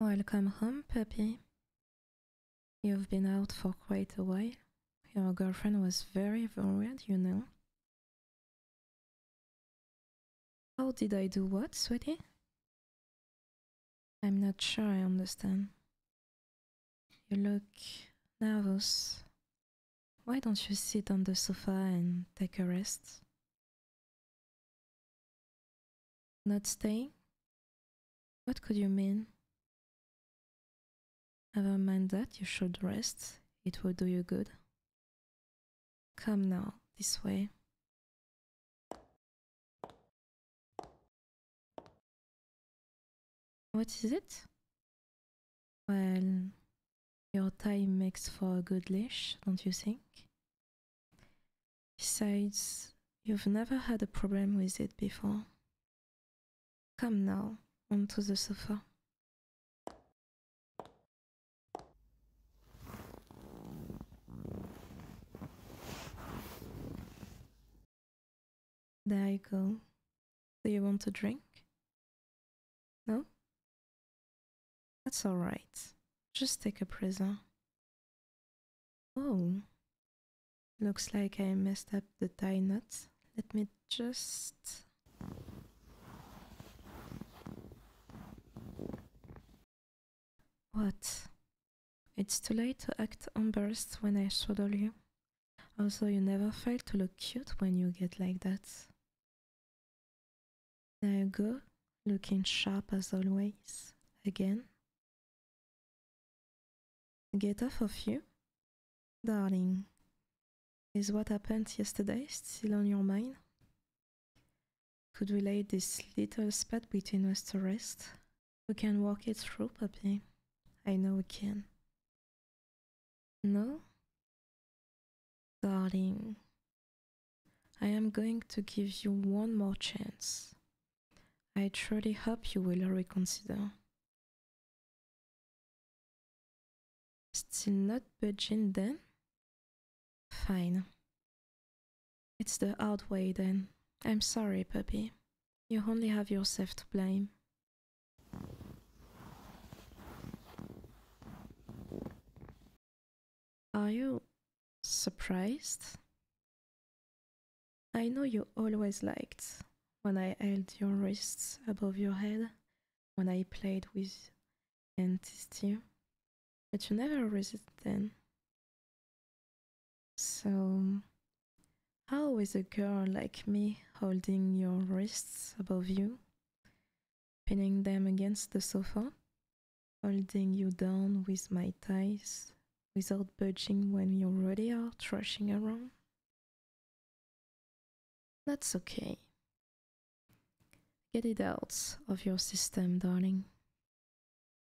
Welcome home, puppy. You've been out for quite a while. Your girlfriend was very worried, you know. How did I do what, sweetie? I'm not sure I understand. You look nervous. Why don't you sit on the sofa and take a rest? Not staying? What could you mean? Never mind that, you should rest. It will do you good. Come now, this way. What is it? Well, your time makes for a good leash, don't you think? Besides, you've never had a problem with it before. Come now, onto the sofa. There you go. Do you want a drink? No? That's alright. Just take a present. Oh. Looks like I messed up the tie knot. Let me just... What? It's too late to act embarrassed when I swaddle you. Also, you never fail to look cute when you get like that. There you go, looking sharp as always, again. Get off of you? Darling, is what happened yesterday still on your mind? Could we lay this little spat between us to rest? We can walk it through, puppy. I know we can. No? Darling, I am going to give you one more chance. I truly hope you will reconsider. Still not budging then? Fine. It's the hard way then. I'm sorry, puppy. You only have yourself to blame. Are you surprised? I know you always liked when I held your wrists above your head, when I played with and teased you, but you never resisted then. So, how is a girl like me holding your wrists above you? pinning them against the sofa, holding you down with my thighs without budging when you already are thrashing around? That's okay. Get it out of your system, darling.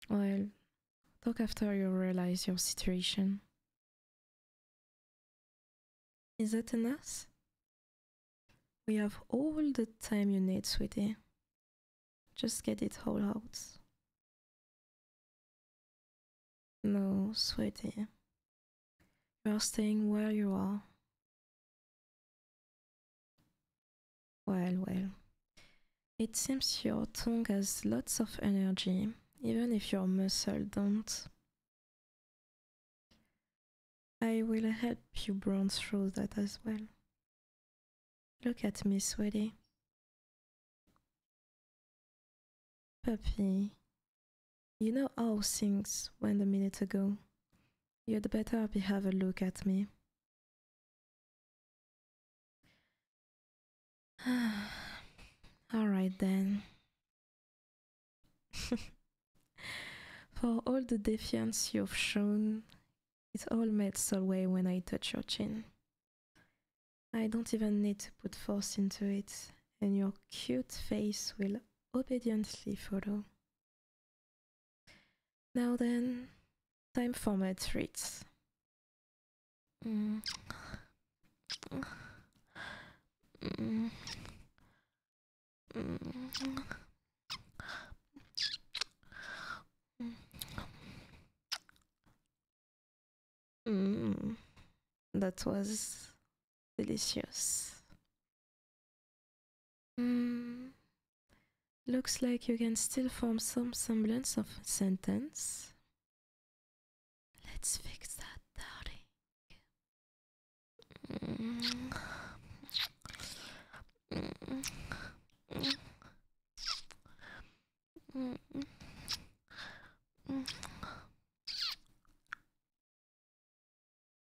Well, talk after you realize your situation. Is that enough? We have all the time you need, sweetie. Just get it all out. No, sweetie. You are staying where you are. Well, well. It seems your tongue has lots of energy, even if your muscles don't. I will help you bronze through that as well. Look at me, sweetie. Puppy, you know how things went a minute ago. You'd better have a look at me. all right then. For all the defiance you've shown, it all melts away when I touch your chin. I don't even need to put force into it, and your cute face will obediently follow. Now then, time for my treats. Mm. Mm. Mm, that was delicious. Mm, looks like you can still form some semblance of sentence. Let's fix that, darling.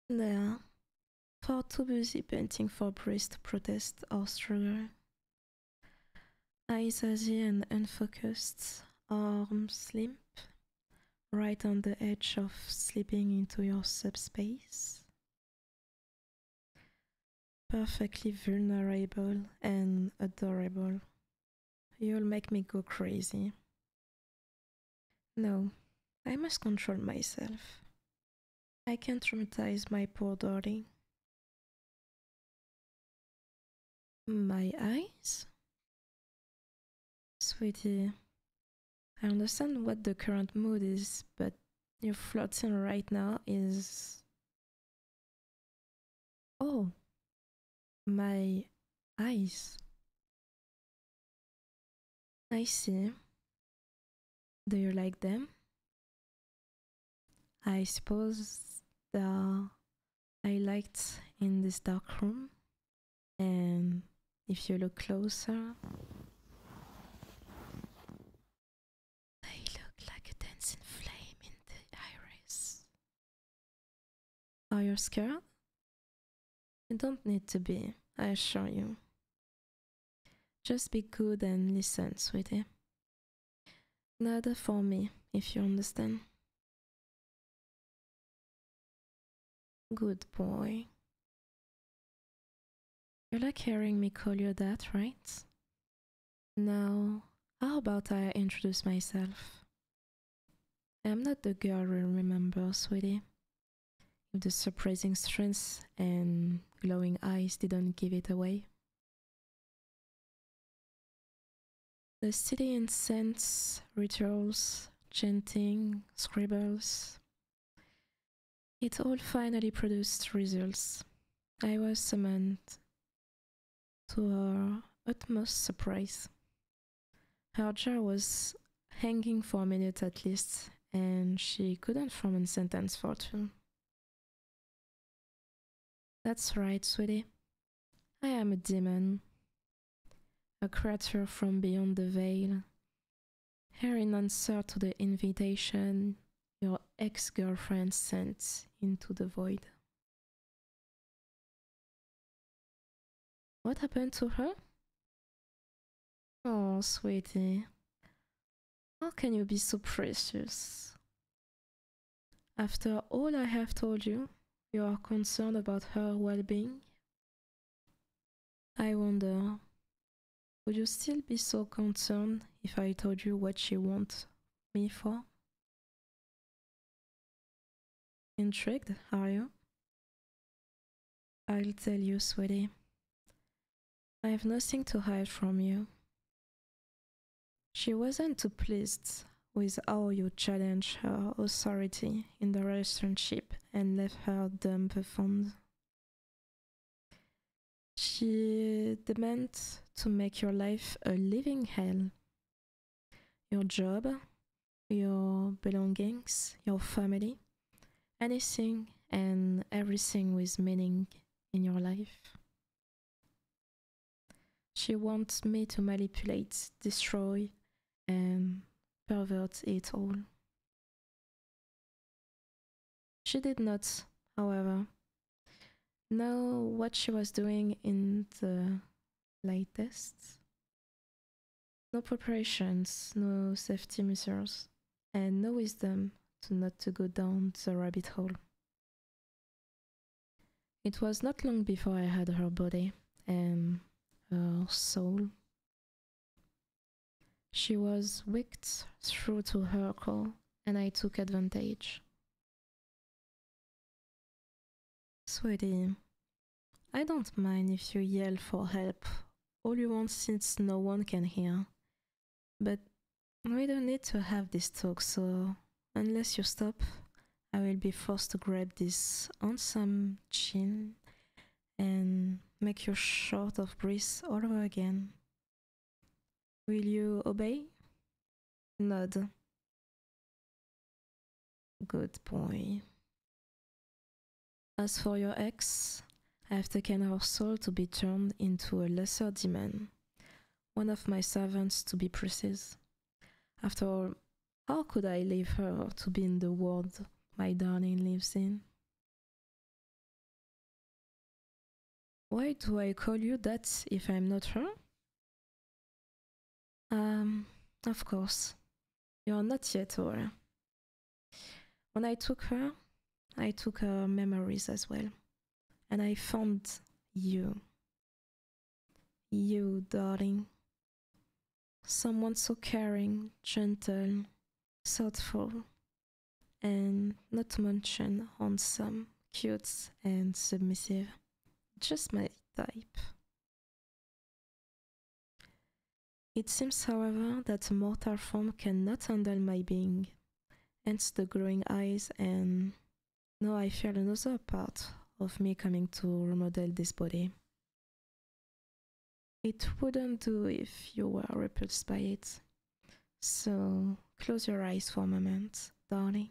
They far too busy painting for priest protest or struggle. Eyes hazy and unfocused, arms limp, right on the edge of slipping into your subspace. Perfectly vulnerable and adorable. You'll make me go crazy. No, I must control myself. I can't traumatize my poor darling. My eyes? Sweetie, I understand what the current mood is, but your floating right now is. Oh, my eyes. I see. Do you like them? I suppose the I liked in this dark room and if you look closer, they look like a dancing flame in the iris. Are you scared? You don't need to be, I assure you. Just be good and listen, sweetie. Nada for me, if you understand. Good boy. You like hearing me call you that, right? Now, how about I introduce myself? I'm not the girl you remember, sweetie. If the surprising strength and glowing eyes didn't give it away. The city incense, rituals, chanting, scribbles, it all finally produced results. I was summoned to her utmost surprise. Her jar was hanging for a minute at least, and she couldn't form a sentence for two. That's right, sweetie. I am a demon, a creature from beyond the veil, here, in answer to the invitation your ex girlfriend sent into the void. What happened to her? Oh, sweetie. How can you be so precious? After all I have told you, you are concerned about her well being I wonder, would you still be so concerned if I told you what she wants me for? Intrigued, are you? I'll tell you, sweetie. I have nothing to hide from you. She wasn't too pleased with how you challenged her authority in the relationship and left her dumbfounded. She demands to make your life a living hell. Your job, your belongings, your family, anything and everything with meaning in your life. She wants me to manipulate, destroy, and pervert it all. She did not, however, know what she was doing in the latest. No preparations, no safety measures, and no wisdom to not to go down the rabbit hole. It was not long before I had her body and her soul she was waked through to her call, and I took advantage. Sweetie, I don't mind if you yell for help all you want since no one can hear. But we don't need to have this talk, so unless you stop, I will be forced to grab this handsome chin and make your short of breath all over again. Will you obey? Nod. Good boy. As for your ex, I have taken her soul to be turned into a lesser demon, one of my servants to be precise. After all, how could I leave her to be in the world my darling lives in. Why do I call you that if I'm not her? Um, of course. You're not yet Aura. When I took her, I took her memories as well. And I found you. You, darling. Someone so caring, gentle, thoughtful, and not to mention handsome, cute, and submissive. Just my type. It seems, however, that mortal form cannot handle my being, hence the glowing eyes, and now I feel another part of me coming to remodel this body. It wouldn't do if you were repulsed by it. So close your eyes for a moment, darling.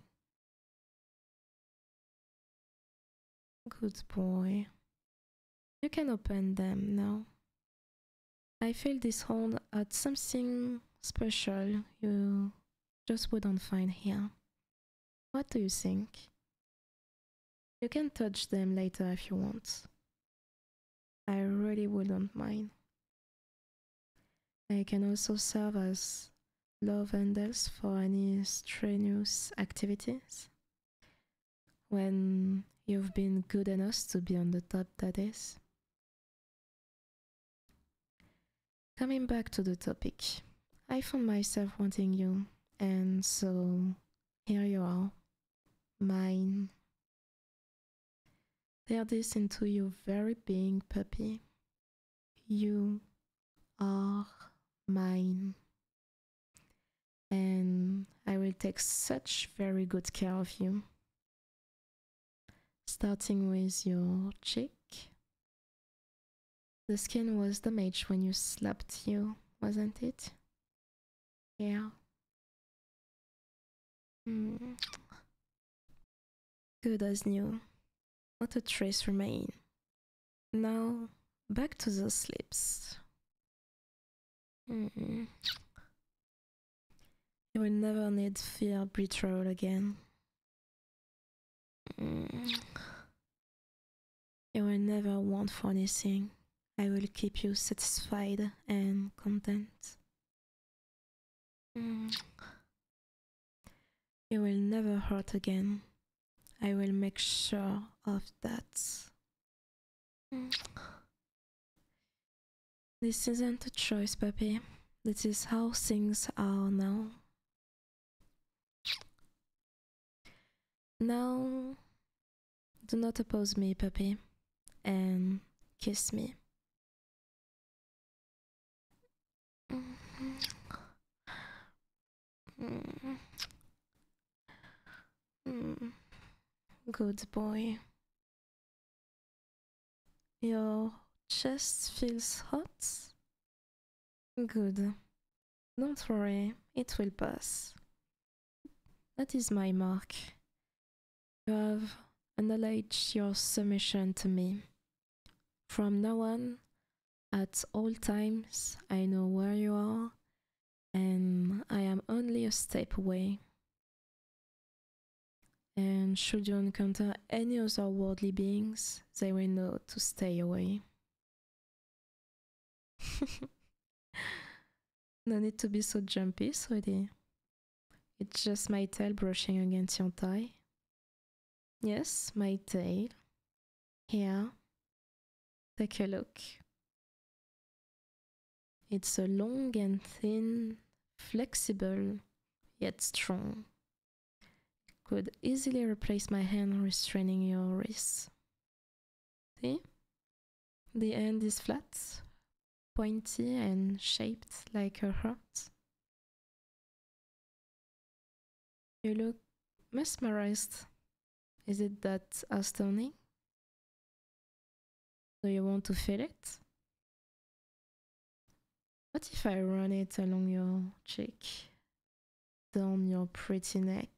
Good boy. You can open them now. I feel this hold at something special you just wouldn't find here. What do you think? You can touch them later if you want. I really wouldn't mind. I can also serve as love handles for any strenuous activities. When you've been good enough to be on the top, that is. Coming back to the topic, I found myself wanting you, and so here you are. Mine. Tear this into your very being, puppy. You are mine. And I will take such very good care of you. Starting with your cheek. The skin was damaged when you slapped you, wasn't it? Yeah. Mm. Good as new. Not a trace remain. Now, back to the slips. Mm. You will never need fear betrayal again. Mm. You will never want for anything. I will keep you satisfied and content. You mm. will never hurt again. I will make sure of that. Mm. This isn't a choice, puppy. This is how things are now. Now, do not oppose me, puppy, and kiss me. Good boy. Your chest feels hot. Good. Don't worry, it will pass. That is my mark. You have acknowledged your submission to me. From now on, at all times, I know where you are, and I am only a step away. And should you encounter any other worldly beings, they will know to stay away. no need to be so jumpy, sweetie. It's just my tail brushing against your thigh. Yes, my tail. Here. Take a look. It's a long and thin, flexible, yet strong. Could easily replace my hand restraining your wrists. See? The end is flat, pointy, and shaped like a heart. You look mesmerized. Is it that astounding? Do you want to feel it? What if I run it along your cheek down your pretty neck.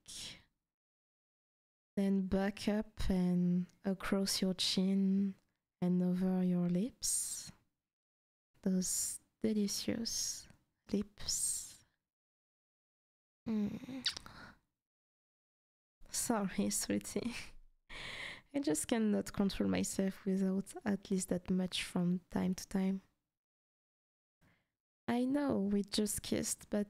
Then back up and across your chin and over your lips. Those delicious lips. Mm. Sorry, sweetie. I just cannot control myself without at least that much from time to time. I know we just kissed, but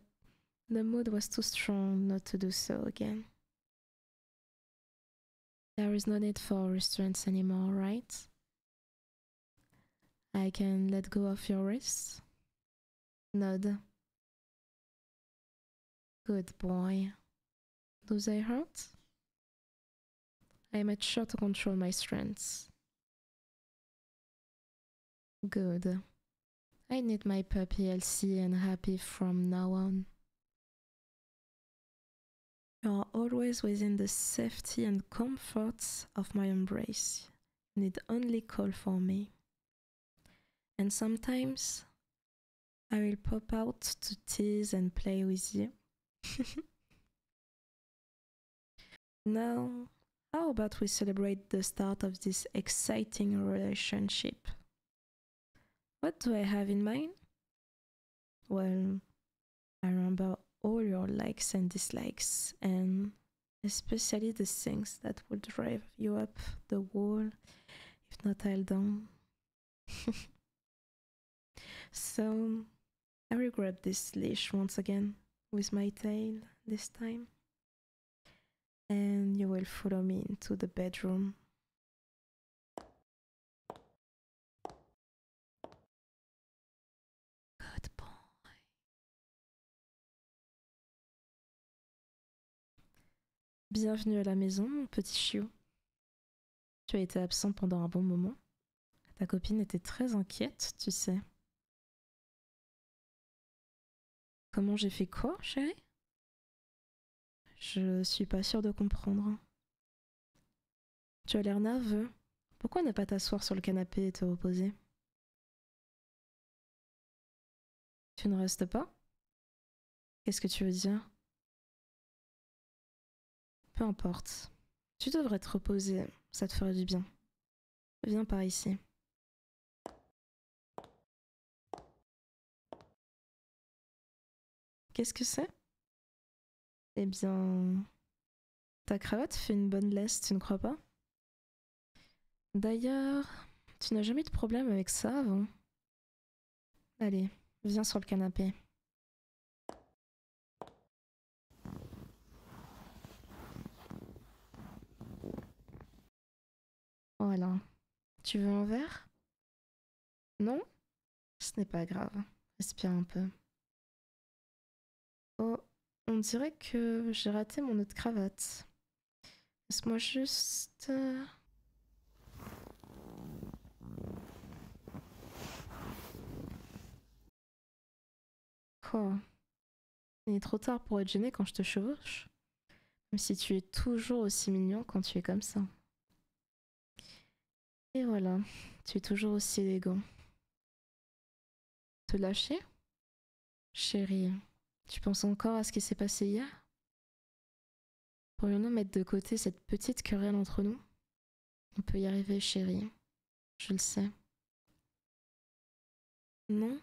the mood was too strong not to do so again. There is no need for restraints anymore, right? I can let go of your wrists? Nod. Good boy. Do I hurt? I am at sure to control my strengths. Good. I need my puppy healthy and happy from now on. You are always within the safety and comforts of my embrace. You need only call for me. And sometimes I will pop out to tease and play with you. Now, how about we celebrate the start of this exciting relationship? What do I have in mind? Well, I remember all your likes and dislikes, and especially the things that will drive you up the wall, if not, held will down. so, I will grab this leash once again, with my tail this time. And you will follow me into the bedroom. Good boy. Bienvenue à la maison, mon petit chiot. Tu as été absent pendant un bon moment, Ta copine était très inquiète, tu sais. Comment j'ai fait quoi, chérie Je suis pas sûre de comprendre. Tu as l'air nerveux. Pourquoi ne pas t'asseoir sur le canapé et te reposer Tu ne restes pas Qu'est-ce que tu veux dire Peu importe. Tu devrais te reposer, ça te ferait du bien. Viens par ici. Qu'est-ce que c'est Eh bien... Ta cravate fait une bonne laisse, tu ne crois pas D'ailleurs, tu n'as jamais de problème avec ça avant. Allez, viens sur le canapé. Voilà. Oh, tu veux un verre Non Ce n'est pas grave. Respire un peu. Oh, on dirait que j'ai raté mon autre cravate. Laisse-moi juste... Euh, Oh. « Quoi Il est trop tard pour être gêné quand je te chevauche. Même si tu es toujours aussi mignon quand tu es comme ça. Et voilà, tu es toujours aussi élégant. Te lâcher Chérie, tu penses encore à ce qui s'est passé hier Pourrions-nous mettre de côté cette petite querelle entre nous on peut y arriver, chérie. Je le sais. Non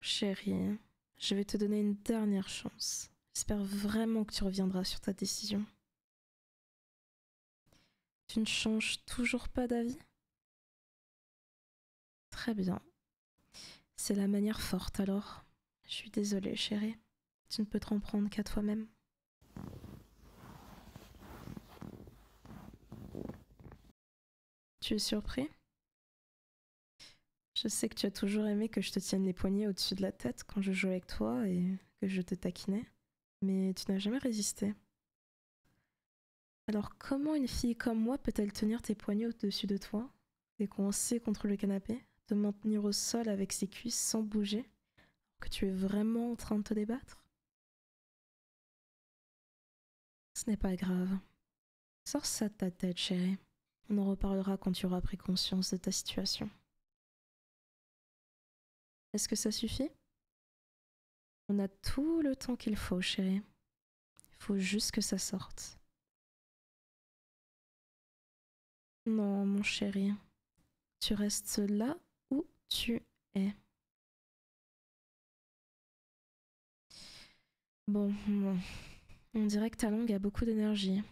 Chérie, je vais te donner une dernière chance. J'espère vraiment que tu reviendras sur ta décision. Tu ne changes toujours pas d'avis Très bien. C'est la manière forte alors. Je suis désolée, chérie. Tu ne peux te prendre qu'à toi-même. Tu es surpris Je sais que tu as toujours aimé que je te tienne les poignets au-dessus de la tête quand je jouais avec toi et que je te taquinais, mais tu n'as jamais résisté. Alors comment une fille comme moi peut-elle tenir tes poignets au-dessus de toi, coincer contre le canapé, te maintenir au sol avec ses cuisses sans bouger, que tu es vraiment en train de te débattre ce n'est pas grave. Sors ça de ta tête, chérie. On en reparlera quand tu auras pris conscience de ta situation. Est-ce que ça suffit On a tout le temps qu'il faut, chérie. Il faut juste que ça sorte. Non, mon chéri, tu restes là où tu es. Bon, on dirait que ta langue a beaucoup d'énergie,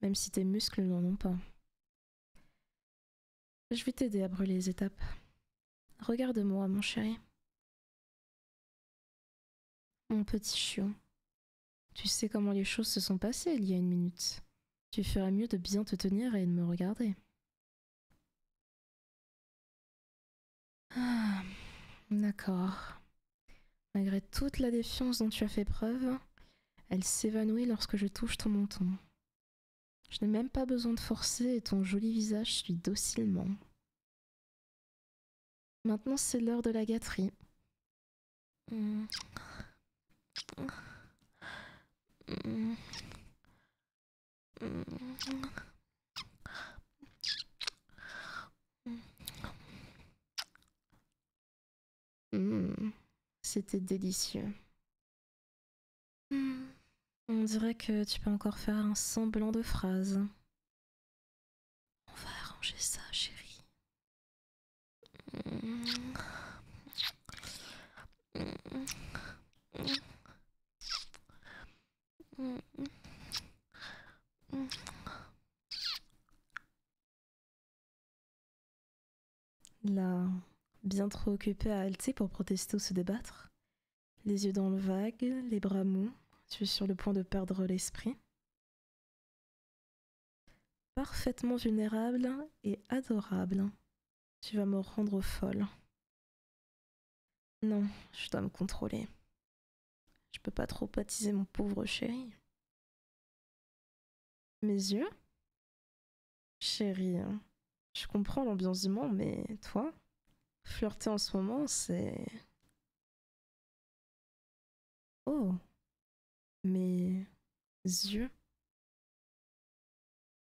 même si tes muscles n'en ont pas. Je vais t'aider à brûler les étapes. Regarde-moi, mon chéri. Mon petit chiot, tu sais comment les choses se sont passées il y a une minute. Tu ferais mieux de bien te tenir et de me regarder. Ah, d'accord. Malgré toute la défiance dont tu as fait preuve, elle s'évanouit lorsque je touche ton menton. Je n'ai même pas besoin de forcer et ton joli visage suit docilement. Maintenant, c'est l'heure de la gâterie. Hmm. C'était délicieux. on dirait que tu peux encore faire un semblant de phrase. On va arranger ça, chérie. Là, bien trop occupée à halter pour protester ou se débattre, les yeux dans le vague, les bras mous, je suis sur le point de perdre l'esprit. Parfaitement vulnérable et adorable. Tu vas me rendre folle. Non, je dois me contrôler. Je peux pas trop baptiser mon pauvre chéri. Mes yeux Chéri, hein. je comprends l'ambiance du monde, mais toi Flirter en ce moment, c'est... Oh, mes yeux.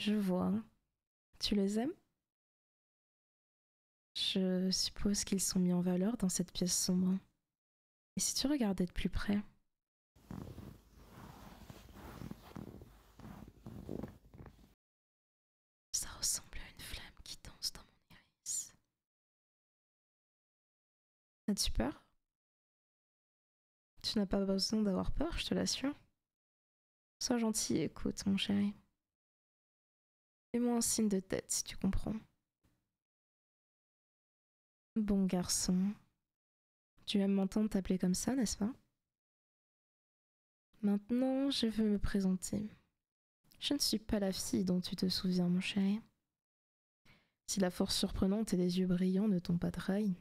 Je vois. Tu les aimes Je suppose qu'ils sont mis en valeur dans cette pièce sombre. Et si tu regardais de plus près Ça ressemble à une flamme qui danse dans mon iris. As-tu peur Tu n'as pas besoin d'avoir peur, je te l'assure. Sois gentil écoute, mon chéri. Fais-moi un signe de tête si tu comprends. Bon garçon. Tu aimes m'entendre t'appeler comme ça, n'est-ce pas Maintenant, je veux me présenter. Je ne suis pas la fille dont tu te souviens, mon chéri. Si la force surprenante et les yeux brillants ne t'ont pas de rails.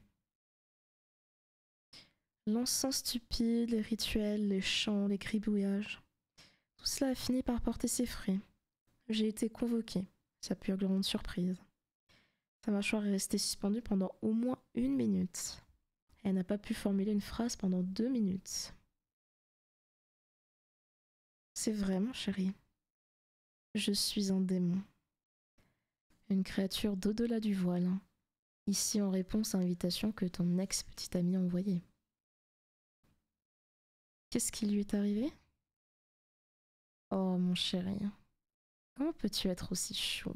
L'encens stupide, les rituels, les chants, les gribouillages. Tout cela a fini par porter ses fruits. J'ai été convoquée, sa pure grande surprise. Sa mâchoire est restée suspendue pendant au moins une minute. Elle n'a pas pu formuler une phrase pendant deux minutes. C'est vrai, mon chéri. Je suis un démon. Une créature d'au-delà du voile. Ici en réponse à l'invitation que ton ex-petite amie envoyait. Qu'est-ce qui lui est arrivé Oh mon chéri, comment peux-tu être aussi chaud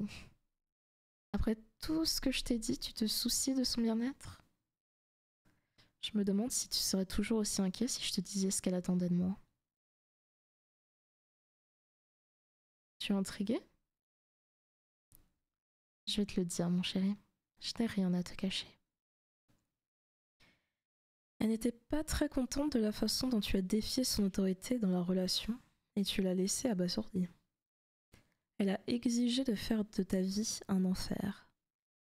Après tout ce que je t'ai dit, tu te soucies de son bien-être Je me demande si tu serais toujours aussi inquiet si je te disais ce qu'elle attendait de moi. Tu es intriguée Je vais te le dire, mon chéri. Je n'ai rien à te cacher. Elle n'était pas très contente de la façon dont tu as défié son autorité dans la relation et tu l'as laissée abasourdie. Elle a exigé de faire de ta vie un enfer.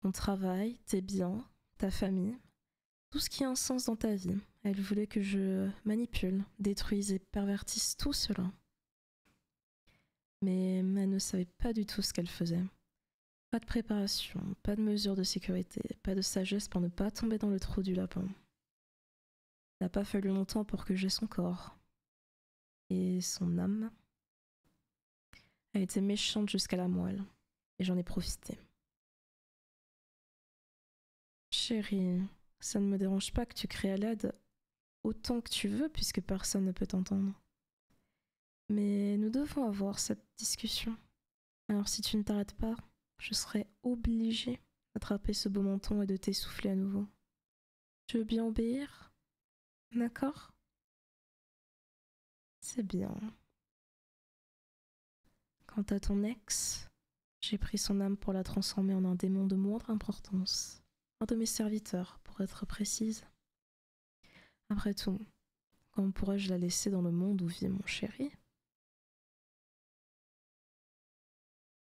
Ton travail, tes biens, ta famille, tout ce qui a un sens dans ta vie. Elle voulait que je manipule, détruise et pervertisse tout cela. Mais elle ne savait pas du tout ce qu'elle faisait. Pas de préparation, pas de mesures de sécurité, pas de sagesse pour ne pas tomber dans le trou du lapin. N'a pas fallu longtemps pour que j'aie son corps. Et son âme Elle était méchante jusqu'à la moelle, et j'en ai profité. Chérie, ça ne me dérange pas que tu crées à l'aide autant que tu veux puisque personne ne peut t'entendre. Mais nous devons avoir cette discussion. Alors si tu ne t'arrêtes pas, je serai obligée d'attraper ce beau menton et de t'essouffler à nouveau. Tu veux bien obéir D'accord c'est bien. Quant à ton ex, j'ai pris son âme pour la transformer en un démon de moindre importance, un de mes serviteurs, pour être précise. Après tout, comment pourrais-je la laisser dans le monde où vit mon chéri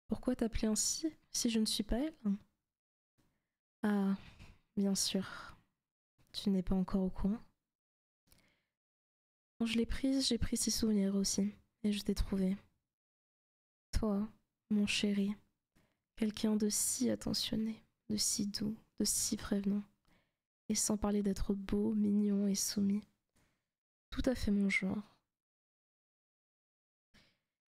Pourquoi t'appeler ainsi si je ne suis pas elle Ah, bien sûr. Tu n'es pas encore au courant quand je l'ai prise, j'ai pris ses souvenirs aussi, et je t'ai trouvée. Toi, mon chéri, quelqu'un de si attentionné, de si doux, de si prévenant, et sans parler d'être beau, mignon et soumis. Tout à fait mon genre.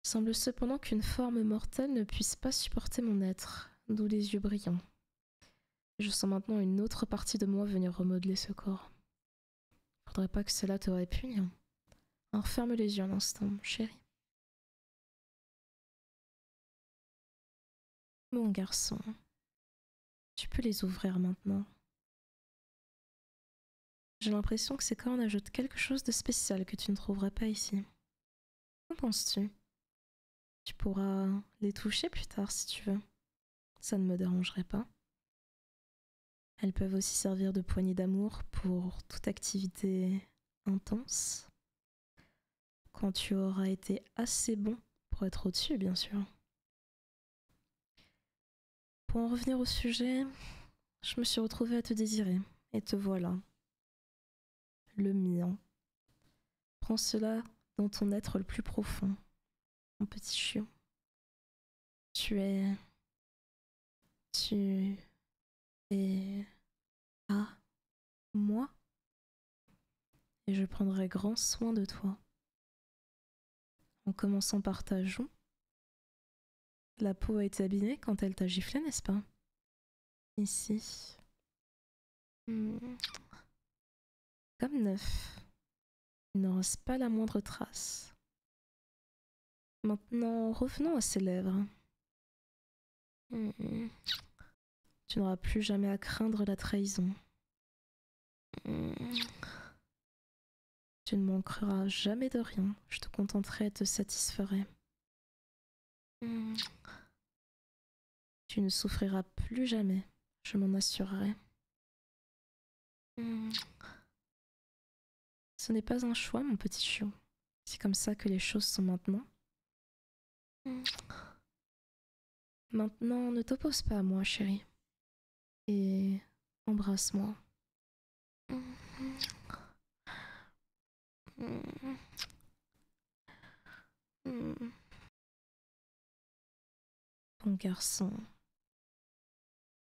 Il semble cependant qu'une forme mortelle ne puisse pas supporter mon être, d'où les yeux brillants, je sens maintenant une autre partie de moi venir remodeler ce corps. Faudrait pas que cela te répugne. Alors ferme les yeux un instant, mon chéri. Mon garçon, tu peux les ouvrir maintenant. J'ai l'impression que ces cornes ajoutent quelque chose de spécial que tu ne trouverais pas ici. Qu'en penses-tu tu pourras les toucher plus tard si tu veux. Ça ne me dérangerait pas. Elles peuvent aussi servir de poignée d'amour pour toute activité intense. Quand tu auras été assez bon pour être au-dessus, bien sûr. Pour en revenir au sujet, je me suis retrouvée à te désirer, et te voilà. Le mien. Prends cela dans ton être le plus profond, mon petit chiot. Tu es. Tu es. à moi. Et je prendrai grand soin de toi. En commençant par ta joue. La peau a été abîmée quand elle t'a giflé, n'est-ce pas Ici, Hmm. Comme neuf. Il n'en reste pas la moindre trace. Maintenant, revenons à ses lèvres. Hmm. Tu n'auras plus jamais à craindre la trahison. Hmm. Tu ne manqueras jamais de rien. Je te contenterai et te satisferai. Tu ne souffriras plus jamais, je m'en assurerai. Hmm. Ce n'est pas un choix, mon petit chiot. C'est comme ça que les choses sont maintenant. Hmm. Maintenant, ne t'oppose pas à moi, chérie. Et embrasse-moi. Hmm. Mon garçon.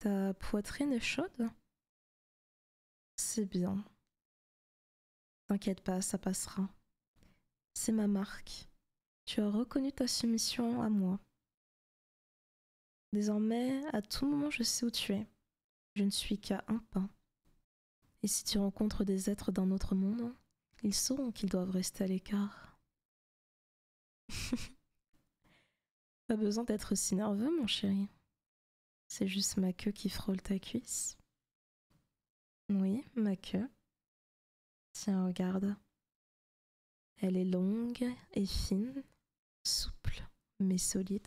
Ta poitrine est chaude C'est bien. T'inquiète pas, ça passera. C'est ma marque. Tu as reconnu ta soumission à moi. Désormais, à tout moment, je sais où tu es. Je ne suis qu'à un pas. Et si tu rencontres des êtres d'un autre monde, ils sauront qu'ils doivent rester à l'écart. Pas besoin d'être si nerveux, mon chéri. C'est juste ma queue qui frôle ta cuisse. Oui, ma queue. Tiens, regarde. Elle est longue et fine, souple mais solide.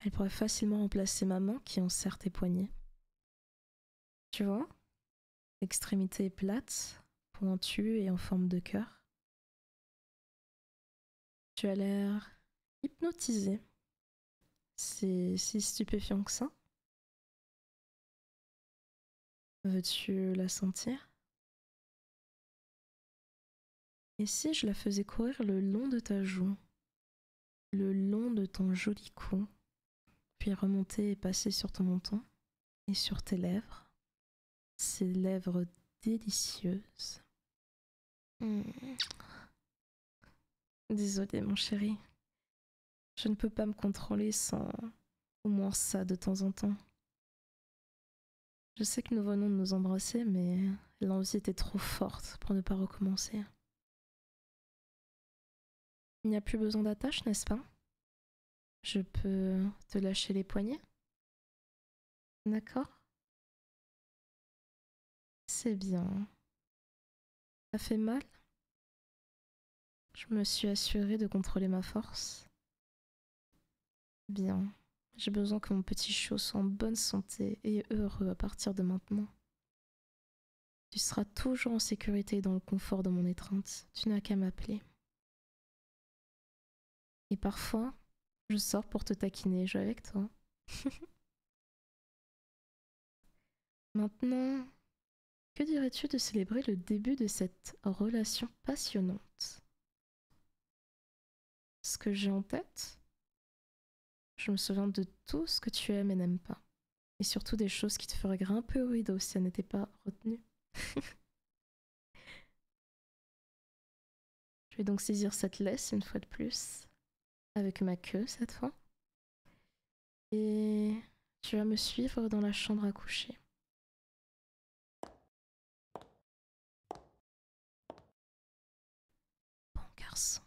Elle pourrait facilement remplacer ma main qui serre tes poignets tu vois Extrémité plate, pointue et en forme de cœur. Tu as l'air hypnotisé. C'est si stupéfiant que ça. Veux-tu la sentir Et si je la faisais courir le long de ta joue le long de ton joli cou, puis remonter et passer sur ton menton et sur tes lèvres, ces lèvres délicieuses. Hmm. Désolée mon chéri, je ne peux pas me contrôler sans au moins ça de temps en temps. Je sais que nous venons de nous embrasser, mais l'envie était trop forte pour ne pas recommencer. Il n'y a plus besoin d'attache, n'est-ce pas Je peux te lâcher les poignets D'accord C'est bien. Ça fait mal Je me suis assurée de contrôler ma force. Bien. J'ai besoin que mon petit chou soit en bonne santé et heureux à partir de maintenant. Tu seras toujours en sécurité dans le confort de mon étreinte. Tu n'as qu'à m'appeler. Et parfois, je sors pour te taquiner, je avec toi. Maintenant, que dirais-tu de célébrer le début de cette relation passionnante Ce que j'ai en tête, je me souviens de tout ce que tu aimes et n'aimes pas. Et surtout des choses qui te feraient grimper au rideau si elles n'étaient pas retenues. je vais donc saisir cette laisse une fois de plus, avec ma queue cette fois. Et tu vas me suivre dans la chambre à coucher. Bon garçon.